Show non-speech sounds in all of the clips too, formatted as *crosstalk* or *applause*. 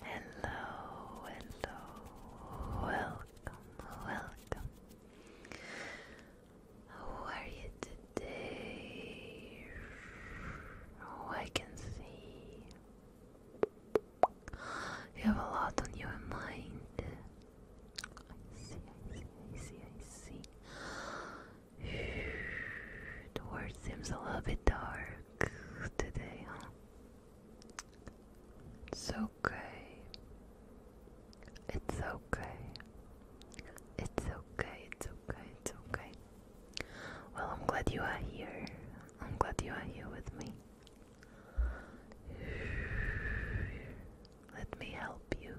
Hello, hello, welcome, welcome. How are you today? Oh, I can see you have a lot on your mind. I see, I see, I see, I see. *sighs* The world seems a little bit dark today, huh? It's okay. It's okay. It's okay, it's okay, it's okay. Well, I'm glad you are here. I'm glad you are here with me. Let me help you.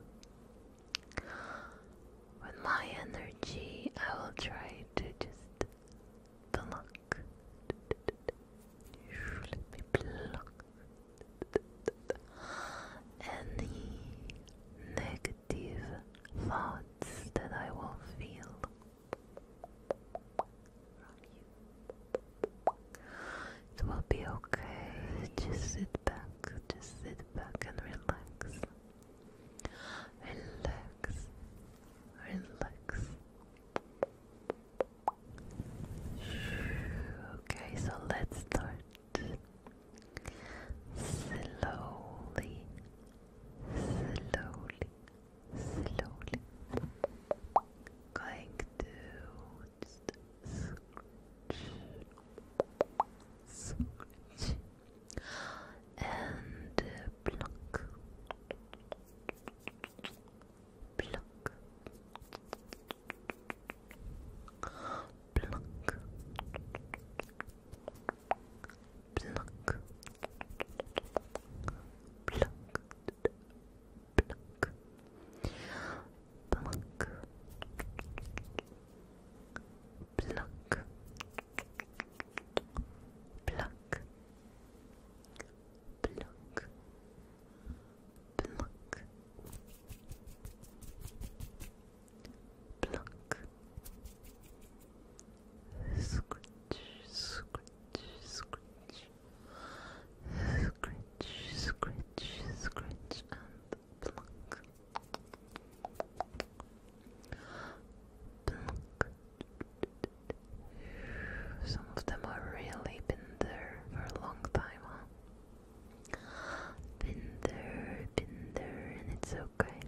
With my energy, I will try to just the lock. Let me pluck any negative thoughts that I will feel It will be okay. Just sit back, just sit back and relax. Relax, relax. Okay, so let's start slowly, slowly, slowly. Going to just scratch, scratch and pluck, pluck, pluck, pluck, pluck. Pluck, pluck, pluck, Pluck. Pluck. Pluck. Pluck. Scratch, scratch, scratch. Scratch, scratch, scratch, and pluck. Pluck. Some of them have really been there for a long time, huh? Been there, been there, and it's okay.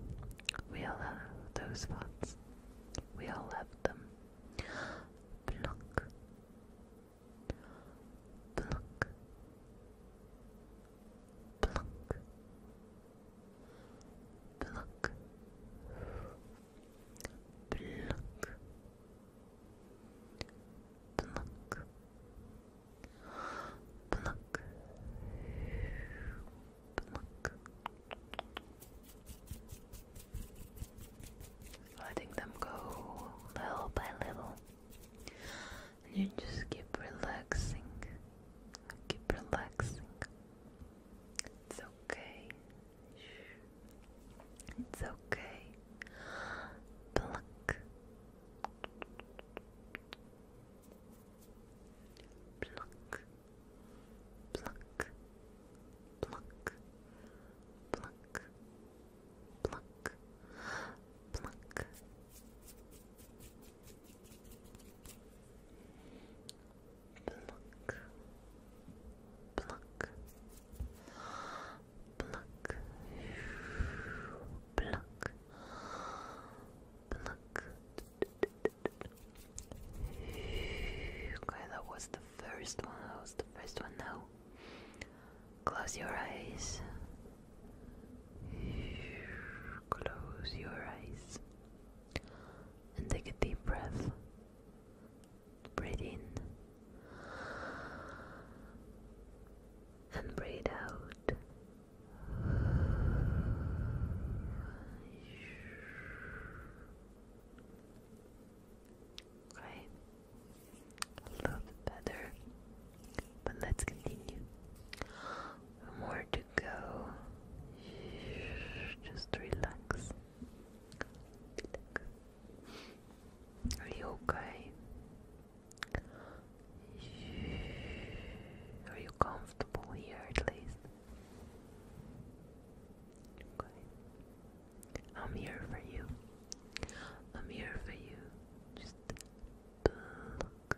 We all have those thoughts. We all have them. Pluck. Pluck. Pluck pluck, pluck, pluck, pluck, pluck. Letting them go little by little. And you just keep relaxing. Keep relaxing. It's okay. It's okay. Pluck. Pluck. Pluck. Pluck. Pluck. Pluck. Pluck. Pluck. Pluck. Pluck. Pluck. Pluck. Okay, that was the first one. That was the first one now. Close your eyes. Close your eyes and take a deep breath. Breathe in and breathe out. Okay, a little better, but let's continue. More go. Just relax. Are you okay? Are you comfortable here at least? I'm here for you. I'm here for you. Just look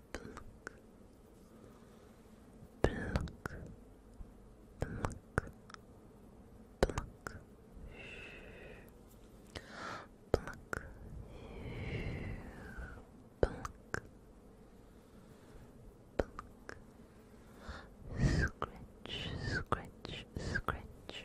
pluck, pluck, pluck, pluck, pluck, pluck, pluck, scratch, scratch, scratch,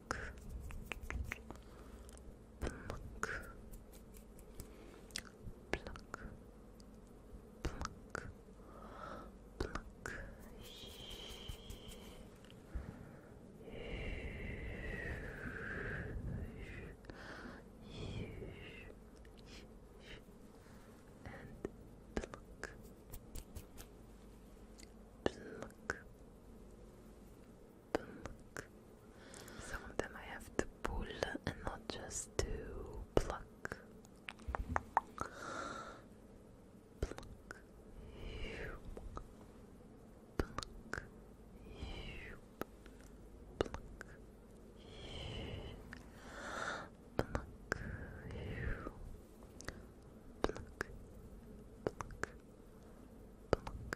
Pamuk. Pamuk. Pluck. Pluck. Pluck. And pluck. Pluck. Some of them I have to pull and not just to pluck. Pluck. Pluck. Pluck. Pluck. Pluck. Pluck. Plunk.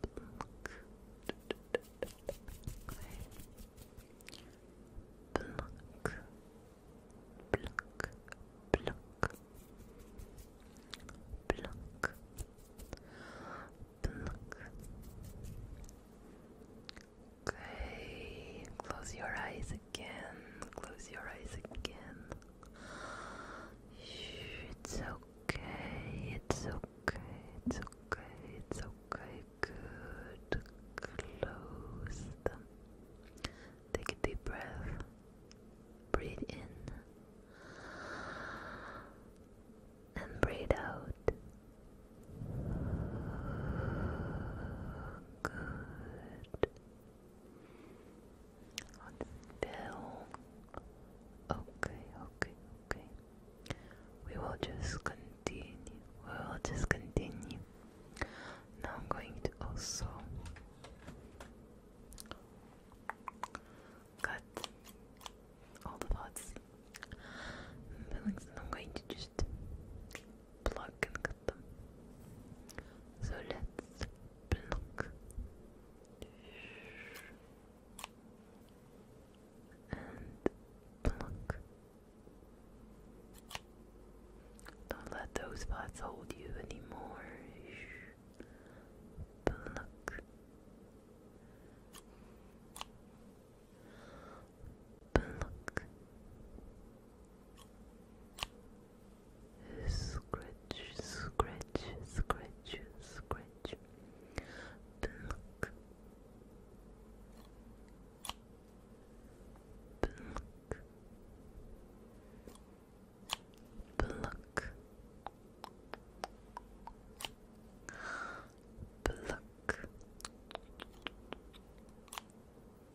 Plunk. Plunk. Plunk. Plunk. Plunk. Plunk. Okay, close your eyes again. Close your eyes again. It's okay. It's okay. It's okay. It's okay. Good. Close them. Take a deep breath. Breathe in. And breathe out. Good. Hold still. Okay, okay, okay. We will just continue. We will just continue. Now I'm going to also cut all the parts. And I'm going to just plug. and so let's pluck and pluck. Don't let those thoughts hold you anymore. Pluck. Pluck scratch, scratch, scratch, scratch. Pınk. Pınk. Pluck, pluck,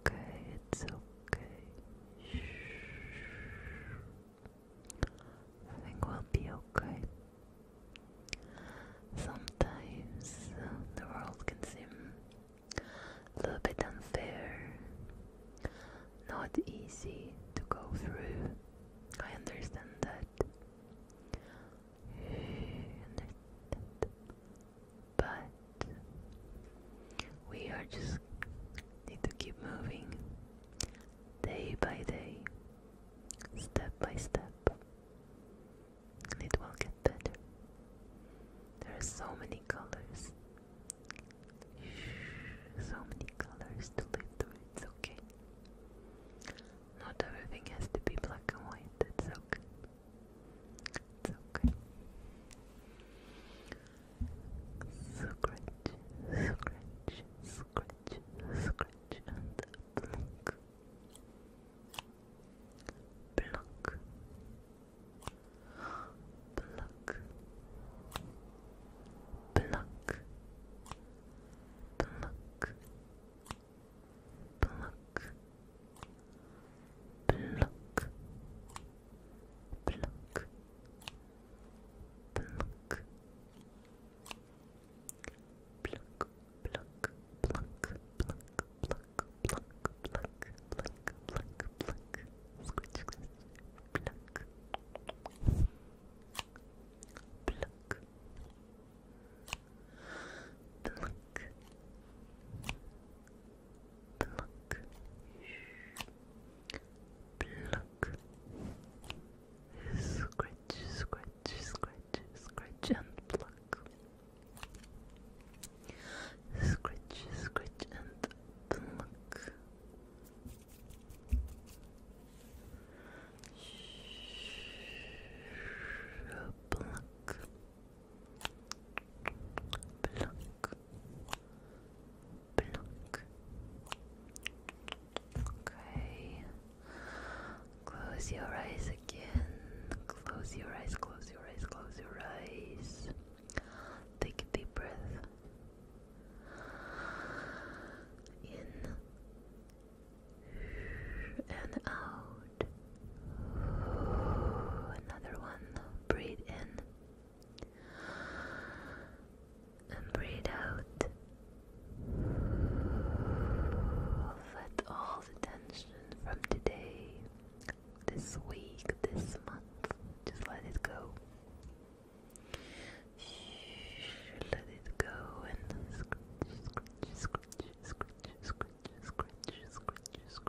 okay, it's okay. I think we'll be okay. Sometimes uh, the world can seem a little bit unfair, not easy to go through. I understand that. *sighs* I understand but we are just need to keep moving day by day, step by step. It will get better. There are so many colors. So many colors to live through. It's okay. Not everything has to be black and white. It's okay. Scratch, scratch, scratch, scratch, and blink. Pluck, pluck, pluck, pluck, pluck. Pluck, pluck, pluck, pluck, pluck, pluck, pluck. Pluck, pluck, pluck, pluck, pluck, pluck, squish, squish, pluck, pluck, pluck, pluck, pluck, scratch, scratch, scratch, scratch and pluck, scratch, scratch and pluck. Pluck, pluck, Okay. Close your eyes again. Close your eyes, close your eyes, close your eyes. Take a deep breath. In and out. Another one. Breathe in and breathe out. Let all the tension from today, this week, this month, just let it go. Let it go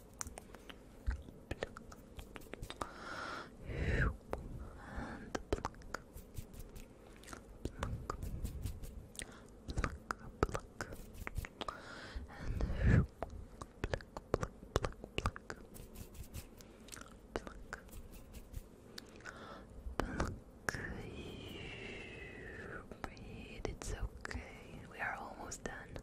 and pluck, pluck, pluck, pluck, and pluck, pluck, pluck, pluck, pluck, pluck. Breathe. It's okay. We are almost done.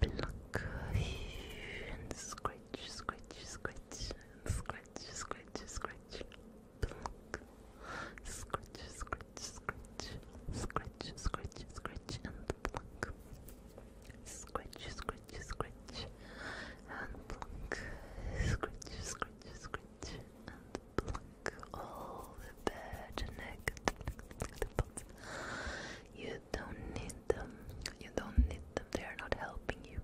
pluck, and scratch, scratch, scratch, scratch, scratch, scratch, pluck, scratch, scratch, scratch, scratch, scratch, scratch, and pluck, scratch, scratch, scratch, and pluck, scratch, scratch, scratch, and pluck all the bad and negative thoughts. You you don't need them. You don't need them. They are not helping you.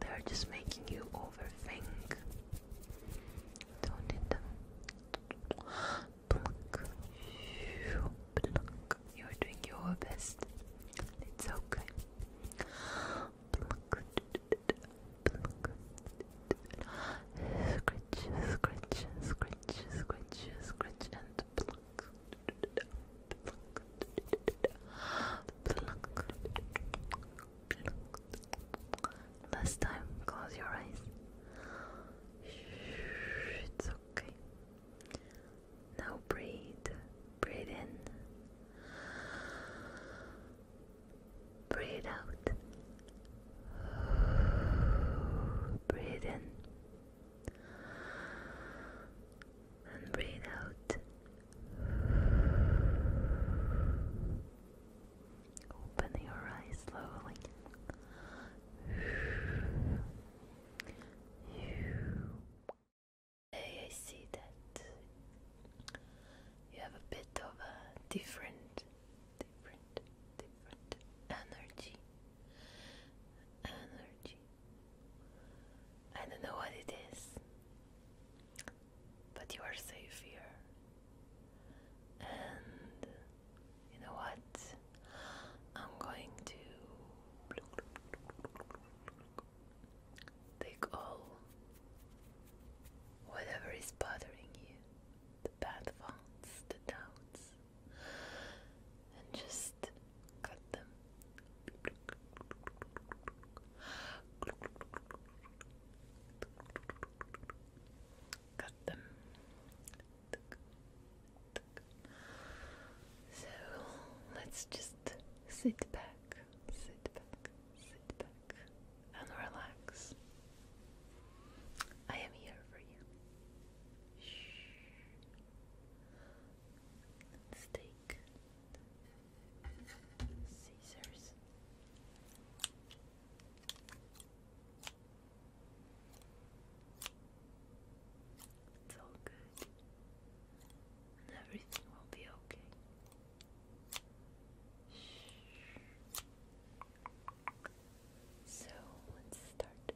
They are just making you overthink. Don't need them. You are doing your best. It's okay. Pluck. Scratch, scratch, scratch, scratch, scratch, Last time, close your eyes. It's okay. Now breathe, breathe in, breathe out, breathe in and breathe out. Open your eyes slowly. Hey, I see that you have a bit of a different, different, different energy. Energy. I don't know what it is, but you are safe here. And you know what? I'm going to take all whatever is bothering you bad thoughts, the doubts, and just cut them. Cut them. So let's just sit back, sit back, sit back, and relax. I am here for you let scissors. It's all good. everything will be okay. Shh. So let's start.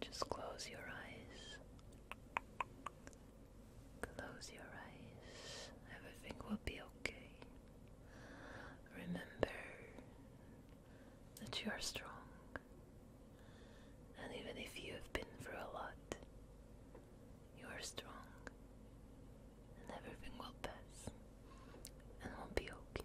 Just close your eyes. Close your eyes. Everything will be okay. Remember that you are strong. And even if you have been through a lot, you are strong, and everything will pass, and will be okay.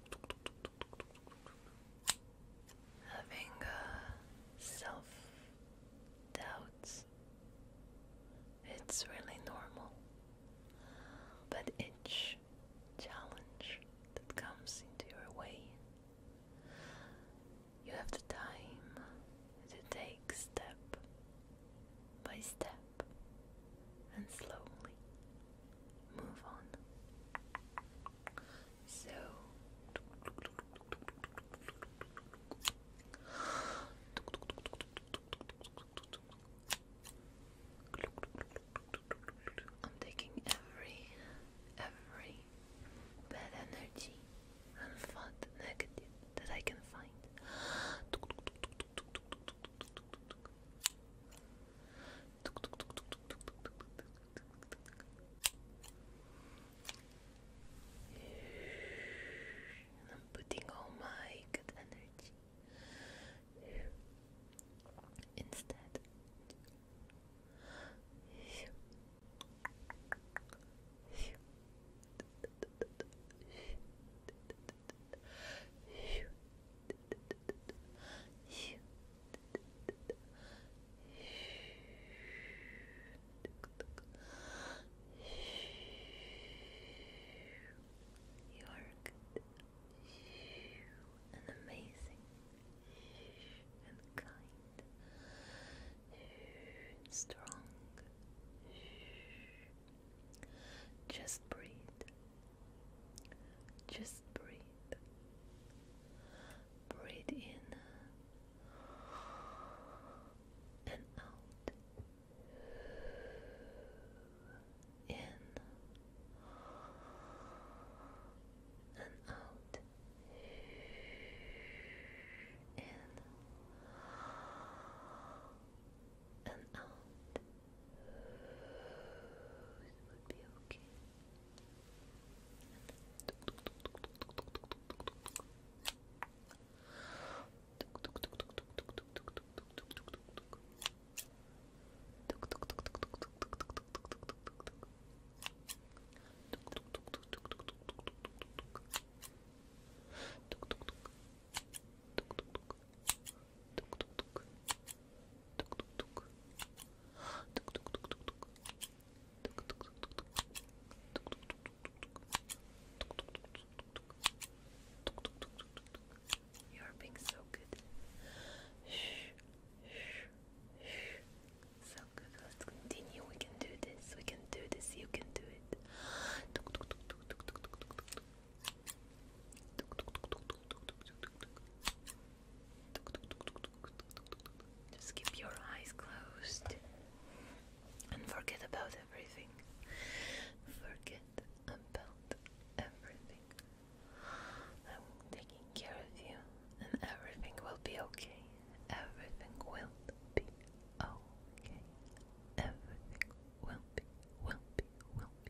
having uh, self doubts. It's really normal. But each challenge that comes into your way, you have the time to take step by step and slowly move on. So I'm taking every every bad energy and thought negative that I can find. And I'm putting all my good energy instead. You are good and amazing and kind and strong. Just breathe. Just breathe. Breathe in and out. In and out. In and out. You're being so good. So good. Let's continue. We can do this. We can do this. You can do it. Just keep your eyes closed and forget about everything. Forget about everything. I'm taking care of you, and everything will be okay. Everything will be okay. Everything will be, will be, will be,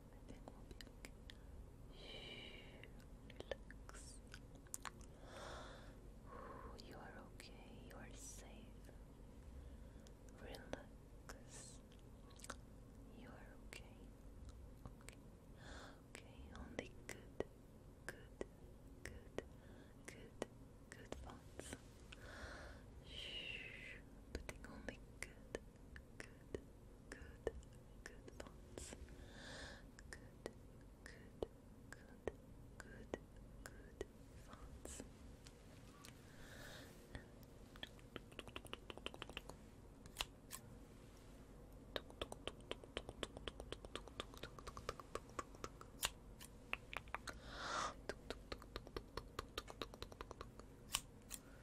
Everything Relax. You are okay. You are safe. Relax. You are okay. Okay. Okay. Only good, good, good, good, good thoughts. Shh. Putting only good, good, good, good thoughts. Good, good, good, good, good thoughts.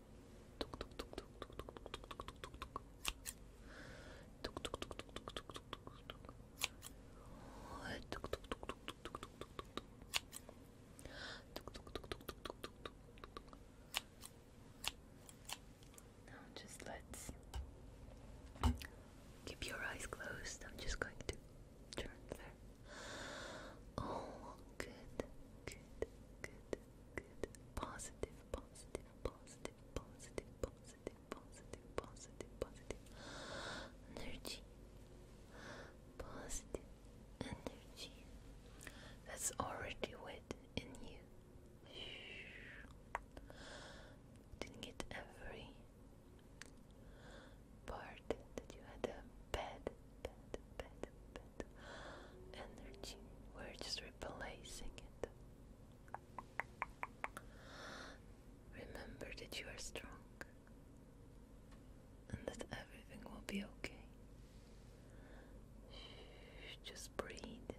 Now just let's keep your eyes closed. I'm just going to turn there. Oh, good, good, good positive energy, that's already wet in you. Didn't every part that you had a bad, bad, bad, bad, energy. We're just replacing it. Remember that you are strong and that everything will be okay. Just breathe.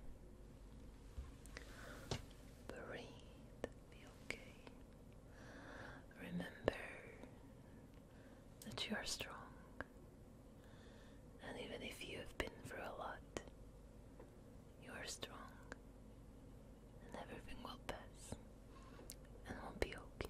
Breathe. Be okay. Remember that you are strong and even if you have been through a lot, you are strong, and everything will pass, and will be okay.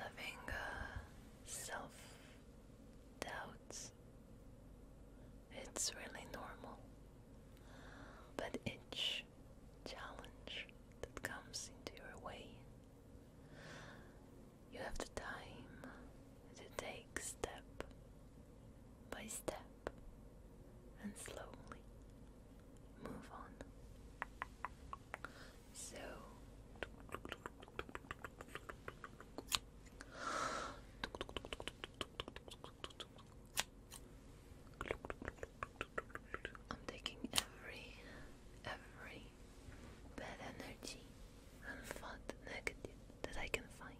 Having uh, self doubts, it's really normal. But each challenge that comes into your way, you have the time to take step by step and slowly move on. So I'm taking every every bad energy and fat negative that I can find.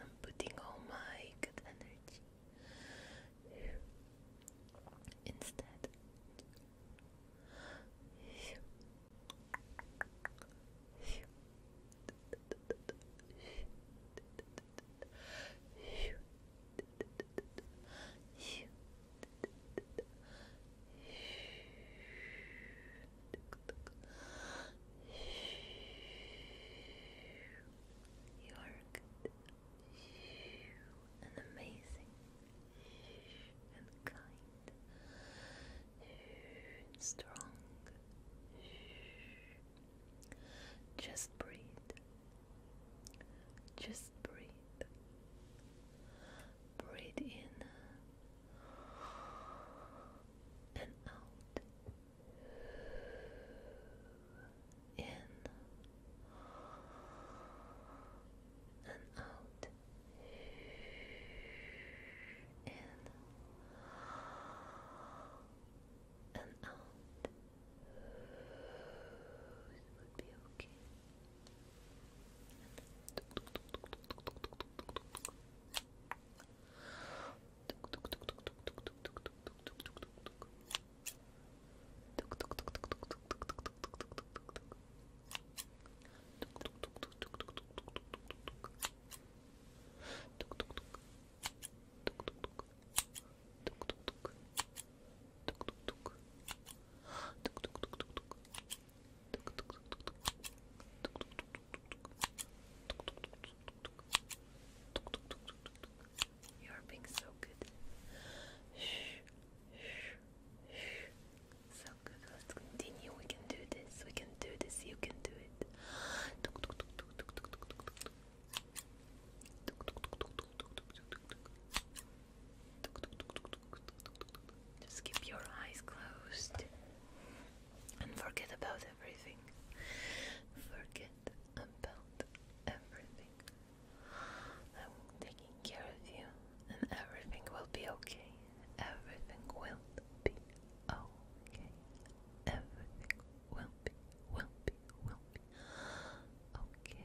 I'm putting all my good energy instead. You are good and amazing and kind and strong just breathe. Just breathe. Breathe in and out. In and out. In and out. would be okay. You are being so good. So good. Let's continue. We can do this. We can do this. You can do it. Just keep your eyes closed and forget about everything. Forget about everything. I'm taking care of you, and everything will be okay. Everything will be okay. Everything will be, will be, will be. Okay.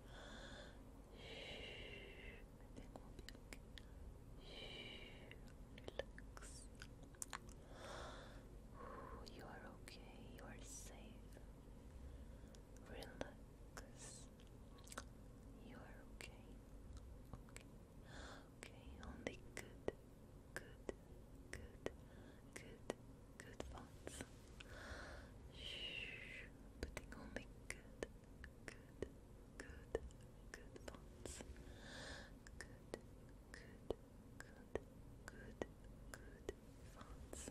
Relax. You are okay. You are safe. Relax. You are okay. Okay. Okay. Only good, good, good, good, good thoughts. putting only good, good, good, good thoughts. Good, good, good, good, good thoughts.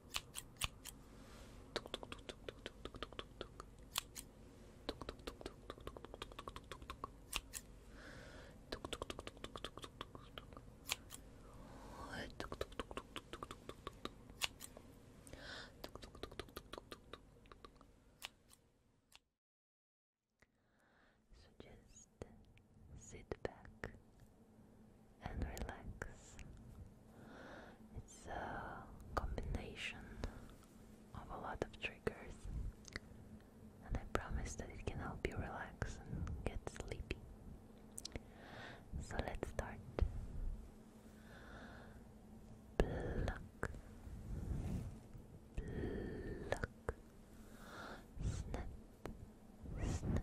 So just sit back and relax. It's a combination of a lot of triggers, and I promise that it can help you relax and get sleepy. So let's start. snip,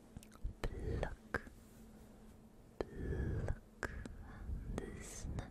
pluck, pluck, and snap,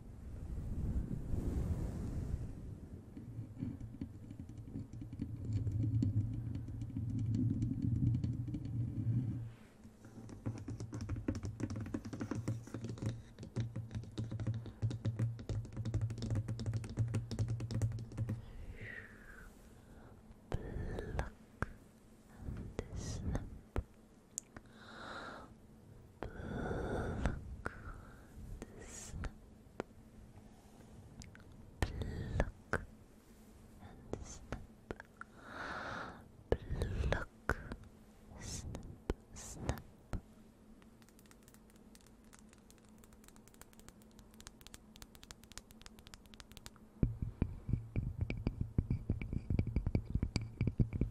Pluck and snap Pluck snap. Pluck snap. Pluck, snap, snap. Look, snip,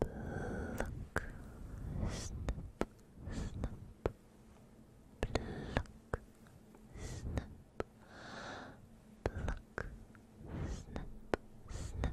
snip, pluck, snip, pluck, snip, snip.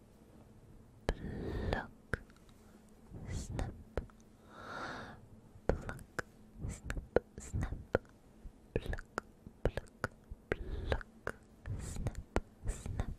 Pluck, snap, pluck, snap, snap, pluck, pluck, pluck, snap, snap.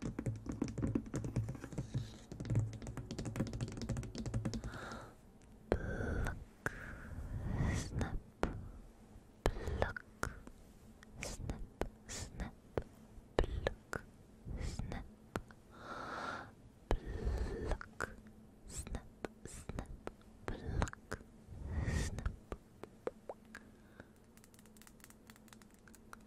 Pluck, snap, pluck, snap, snap, pluck, snap, pluck, snap, snap, pluck, snap.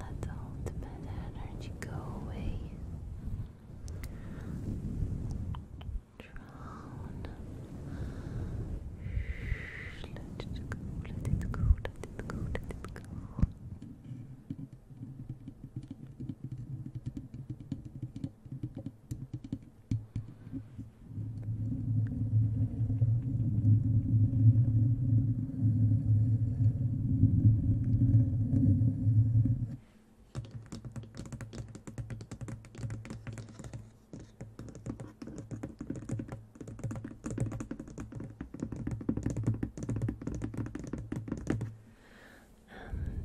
Let all the bad energy go away. Drown. Let it go, let it go, let it go, let it go. Let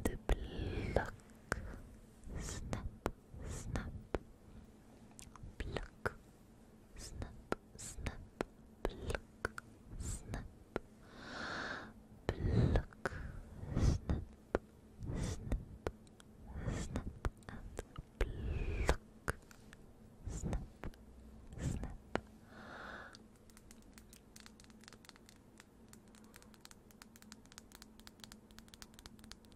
and pluck, snap, snap, pluck, snip, snip, pluck, snip, pluck, snip, snip, snip, and pluck, snip, snip.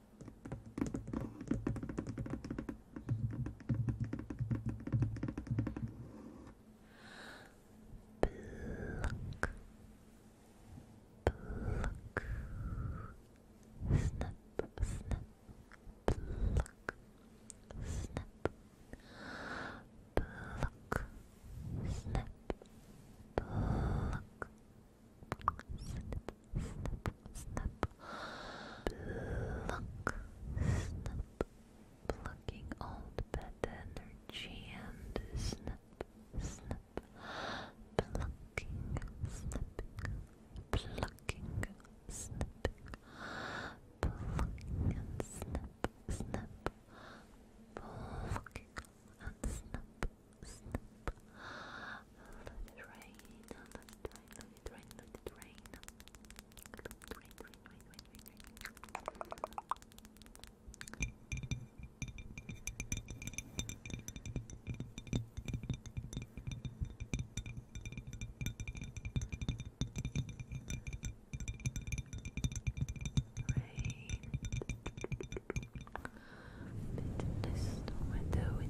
Pluck. Pluck. Snap, snap, pluck, snap, pluck, snap, pluck, snap, snip, snip. Pluck, snip. Plucking old bad energy and snip, snip. Plucking, snipping, plucking, snipping. Plucking and snip, snip. Plucking and snip, snip. Let it rain, let it let it rain, let it rain. Rain, rain, rain, rain, rain, rain. Rain. Bit this window with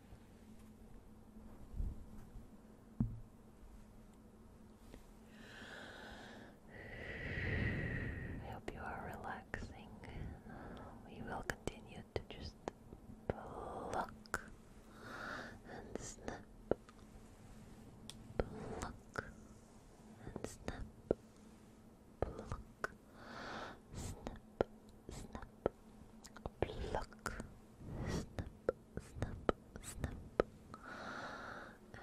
I hope you are relaxing. We will continue to just pluck and snap, pluck and snap, pluck, snap, snap, pluck, snap, snip, snip, and Good.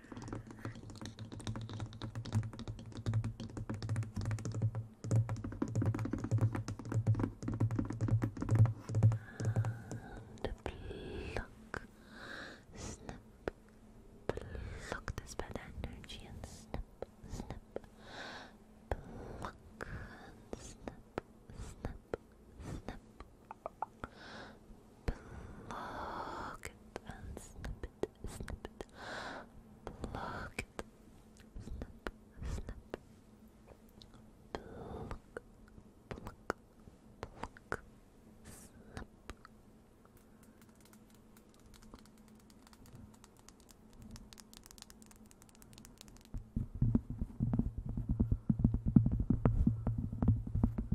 And pluck, snip, pluck this bad energy snip, snip, pluck, snip, snip, snip. Pluck it and snip it, snip it. Pluck it, snip,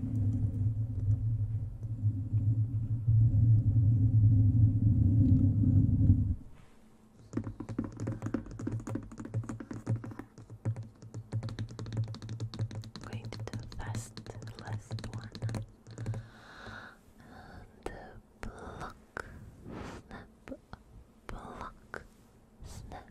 I'm going to do the last one and block snap block snap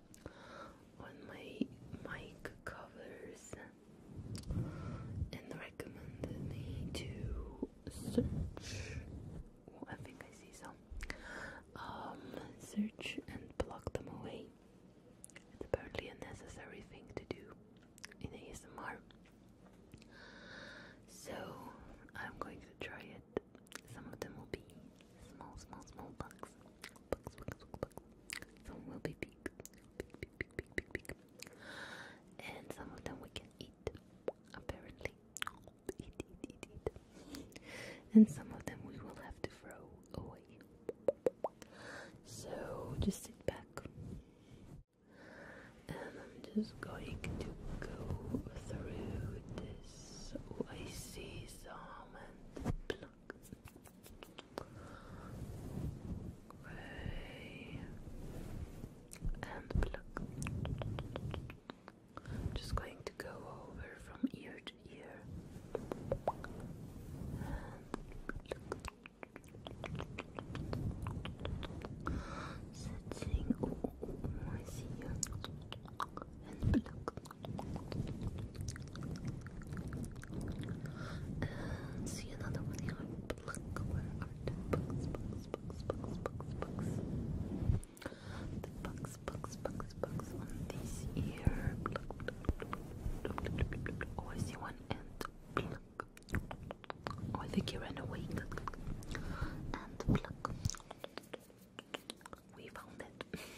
on my mic covers and recommended me to search. I think I see some. Um, search and block them away. It's apparently a necessary thing to do in ASMR. So I'm going to try it. Some of them will be small, small, small boxes. Bugs, bugs, bugs, some will be big, big, big, big, big, big, big. And some of them we can eat, apparently. And some of them we will have to throw away. So just sit back. And I'm just going to go through this. Oh, I see some Way and pluck. I'm just going to go over from ear to ear. And sitting. And pluck see another one here. Look, where are the books, books, books, books, books, books? The books, books, books, books on this ear. Oh, I see one and Oh, I think he ran away. And pluck. We found it. *laughs*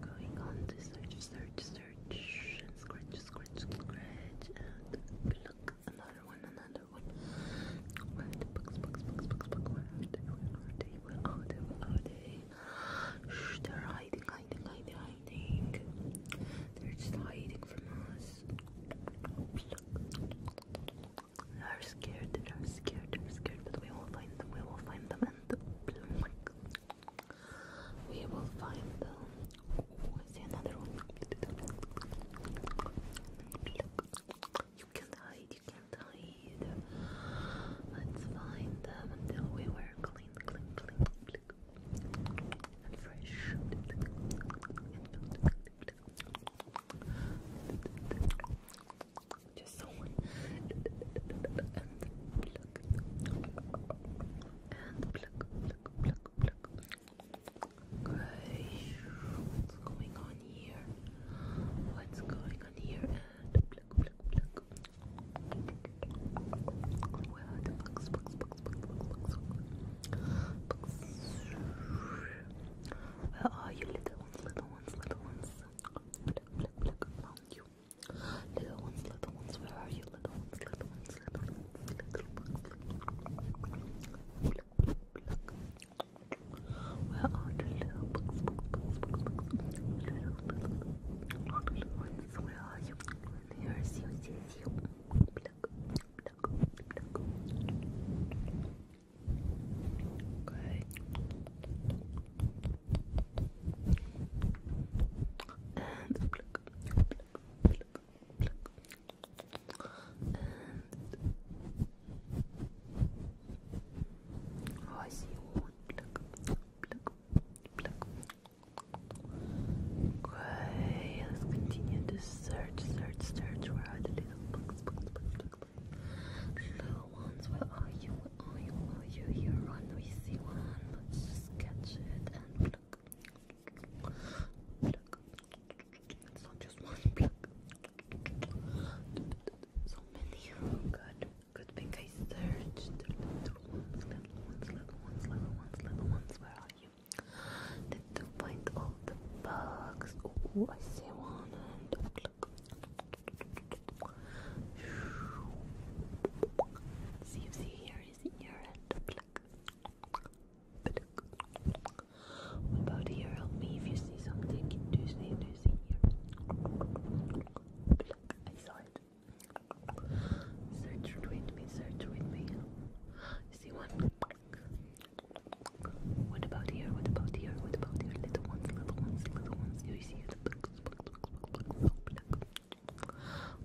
going on to search, search, search, and scratch, scratch, scratch, and look, another one, another one. Right, books, books, books, books, books, where are they, where are they, where are they, they're hiding, hiding, hiding, hiding. They're just hiding from us. They are scared, they are scared, they are scared, but we will find them, we will find them, and oh my god, we will find them. Oh, see another one. You can't hide, you can't hide. Let's find them until we were clean, clean, clean, clean. And fresh just someone and pluck and pluck pluck pluck pluck Gosh, what's going on here? What's going on here? Where are you little ones little ones little ones found you Little ones, little ones, where are you? Little ones, little ones, little ones, little ones, little Where are the little books, books, books, books, books? Little, little, little ones, where are you? Here is you, sees you. Okay oh, I see one Okay, let's continue to search, search, search. Where are the Little ones, where are you? oil while you're here on the one. Let's catch it and pluck. Pluck. just one So many. Good. Good thing I searched. Little ones, little ones, little ones, little Where are you? Did you find all the bugs? Oh, I see one. And pluck. See if see here is here and pluck. Pluck. What about here? Help me if you see something. Do you see? Do you see here? I saw it. Search with me. Search with me. see one? What about here? What about here? What about here? Little ones, little ones, little ones. Do you see it?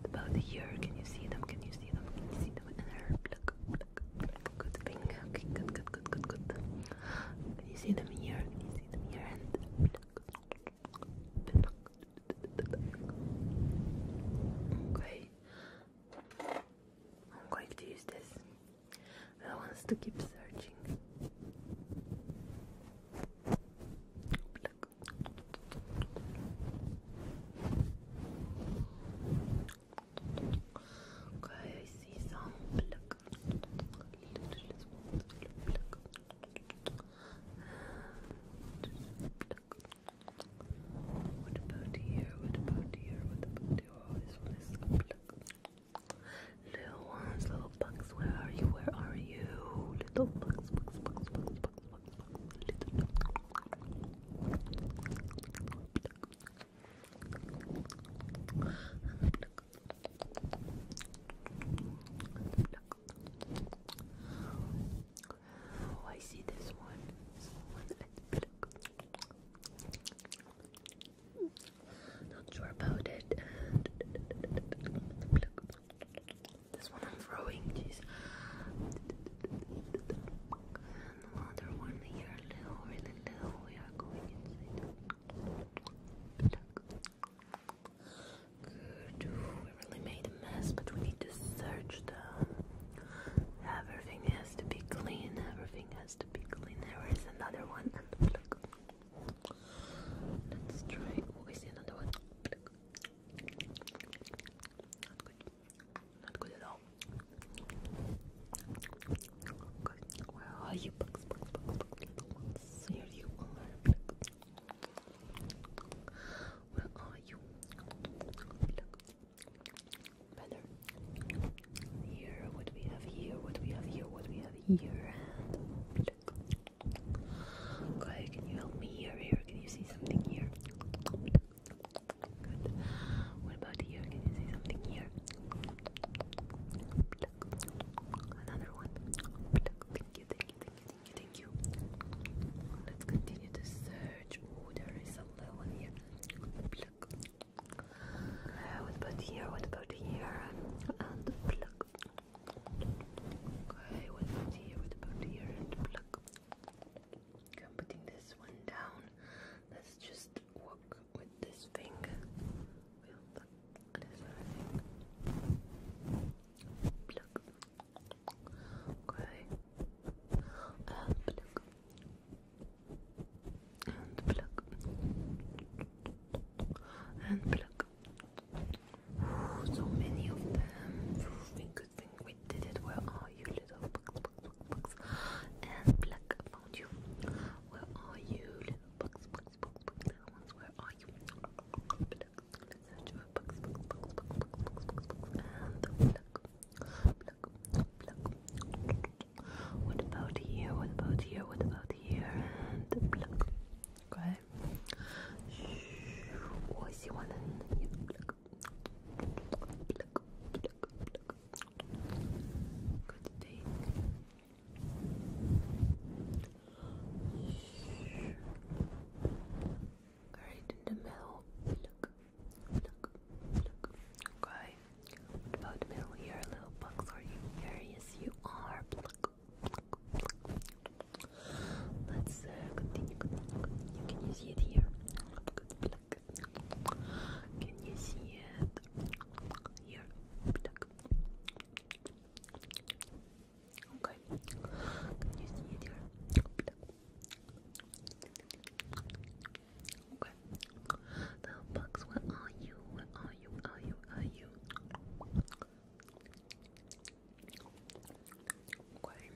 About here, can you see them? Can you see them? Can you see them in her? Pluck, Good thing. Okay, good, good, good, good, good. Can you see them here? Can you see them here? Okay. I'm going to use this. I want us to keep searching. Okay, I see some What about here? What about here? What about here? Oh, Little ones, little bugs, where are you? Where are you? Little bugs, bugs, bugs, bugs, bugs, bugs, bugs, little Oh, I see this one. Not sure about it. And this one I'm throwing, jeez. the other one here, little, really little, we are going inside. Good, we really made a mess, but we need to search Everything has to be clean, everything has to be clean. There is another one. Let's try. Oh, I see another one. Not good. Not good at all. Where are you, bugs? Bugs, Here you Where are you? Here, what we have here? What we have here? What we have here? And Okay, can you help me here? can you see something here? What about here? Can you see something here? Another one. Thank you, thank you, thank you, thank you, thank you. Let's continue to search. Oh, there is a little one here. Uh, what about here? What about here? Okay, with here, with here, and pluck. I'm putting this one down. Let's just work with this finger. We'll pluck this other thing. Pluck. Okay. And pluck. And pluck. And pluck so many of them. Good thing we did it. Where are you, little bugs, bugs, bugs, bugs? And black, I found you. Where are you, little bugs, bugs, bugs, bugs, little ones? Where are you? Let's search for bugs, bugs, bugs, bugs, bugs, bugs, bugs, and black, black, black. What about here? What about here? What about here? Okay. 我喜欢的你。Good thing. Right in the middle. Look, look, look. Okay. about the middle here? Little box are you? There yes, you are. Let's uh, continue, continue, Can see it here? Can you see it here? Okay. you see it here? Okay. The bugs, where are you? Where are you? Are you? Are you? Okay.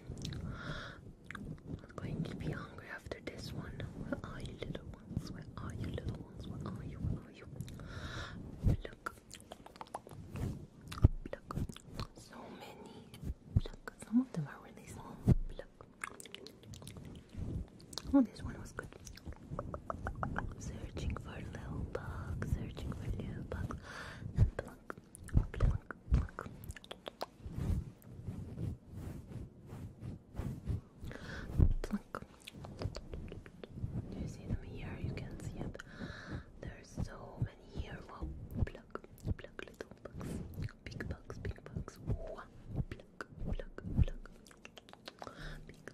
going to be hungry after this one. Where are you, little ones? Where are you, little ones? Where are you? Look. Look. So many. Look. Some of them are really small. Look. Oh, this one was good. Searching for little bugs, searching for little bugs, and plunk, plunk, plunk. Plunk. Do you see them here? You can see it. There's so many here. Wow, pluck, pluck, little bugs, big bugs, big bugs. Wow, pluck, pluck, pluck. Big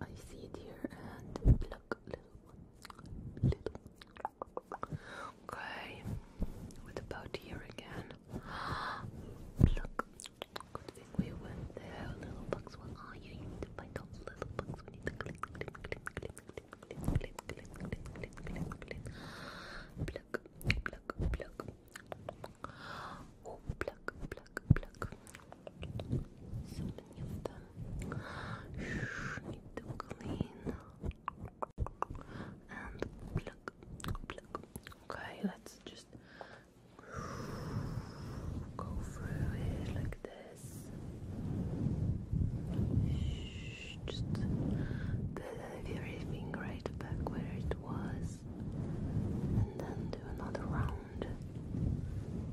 I see it here and look, little one, little. Okay, what about here again? Look, we went there. Little bugs, what are you? find out little bugs. We need to click, click, click, click, click, click, click, click, click, click, click, click. Pluck, pluck, pluck. pluck, pluck, pluck, pluck. So to Okay, let's just go through it like this. just move everything back where it was. And then do another round.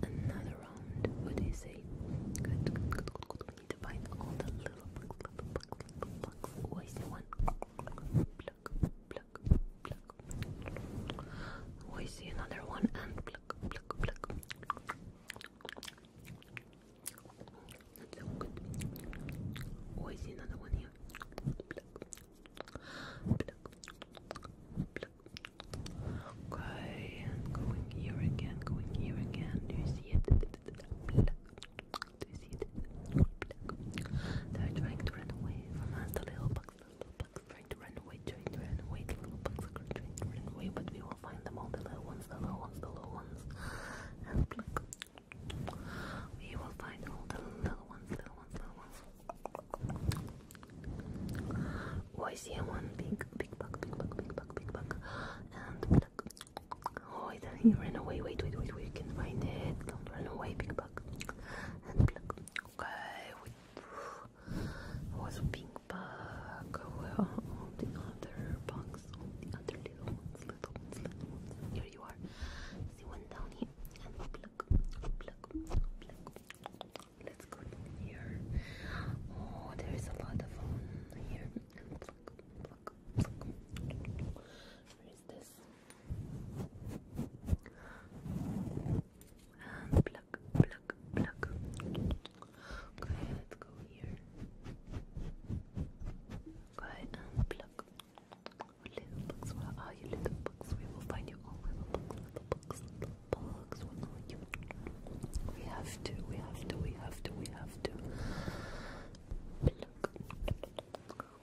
Another around. you say? Good, We need to find all the little oh, pluck, pluck, pluck, Oh, I see one. Pluck, pluck, another one. And pluck, pluck, oh, another one here. Okay, going here again, going here again. Do you see it? Black. Do you see it? Black. They're trying to run away from us, the little bugs, the little bugs, trying to run away, trying to run away, the little bugs are trying to run away, but we will find them all, the little ones, the little ones, the little ones. And black. We will find all the little ones, little ones, little ones. Oh, I see one big, big bug, big bug, big bug, big bug. And Oh, it, he ran away. Wait, wait, wait, we can find it. Don't run away, big bug. Okay, we. It was bug. Oh, well, the other bugs, all the other little ones, little ones, little ones. Here you are. See one down here. Let's go here. Oh, there is a lot of fun um, here. Pluck, pluck, pluck. Where is this? And pluck, pluck, Okay, let's go here. Okay, and Little bugs, where you, little bugs? We will find you all, little bugs, little bugs, little box We have to, we have to, we have to, we have to.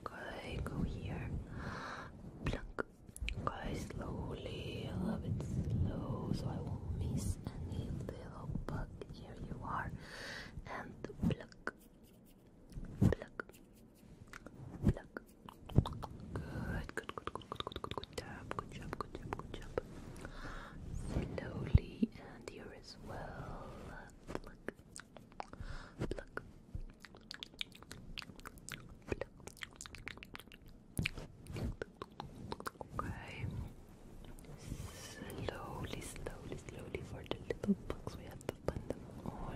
Okay, go here. Pluck. Okay, slowly, a bit slow, so I won't miss any little bug. Here you are. And pluck. Pluck. Pluck. Good, good, good, good, good, good, good, job, good job, good job, good job. Slowly and here as well. Okay. Slowly, slowly, slowly for the little bugs. We have to find them all.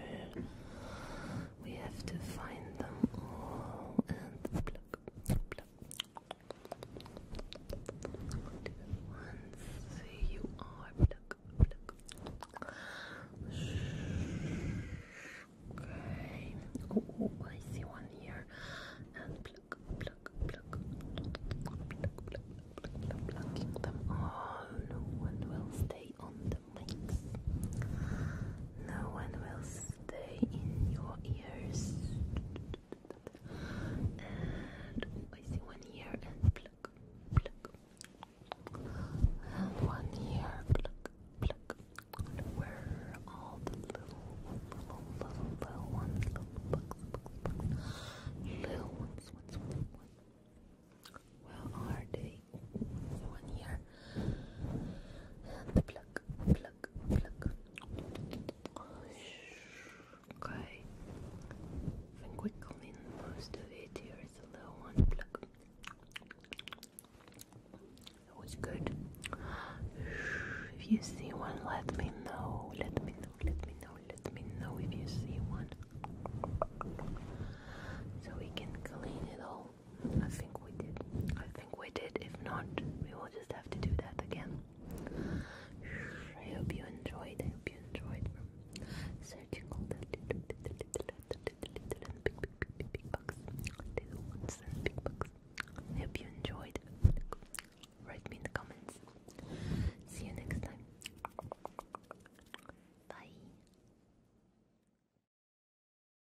We have to find them all and pluck, you are Okay. Oh, I see one here. And pluck, pluck, pluck. Pluck, pluck, pluck, pluck. Plucking them all. No one will stay on them wings. No one will stay in your ears. And I see one ear and pluck, pluck. And one ear, pluck, pluck. And where are all the little, little, little, little ones, little bugs, bugs, bugs, little ones, ones, ones, ones. Where are they? One ear, Pluck, pluck, pluck. Okay. I think we clean most of it. Here is a little one. Pluck. That was good. If you see one, let me know. Let me know. Let me know. Let me know if you see one. So we can clean it all I think we did. I think we did. If not, we will just have to do that again. I hope you enjoyed. I hope you enjoyed searching all the little, little, little, little, little big, big, big, big, big bugs, little ones and big bugs. I hope you enjoyed. Write me in the comments. See you next time. Bye.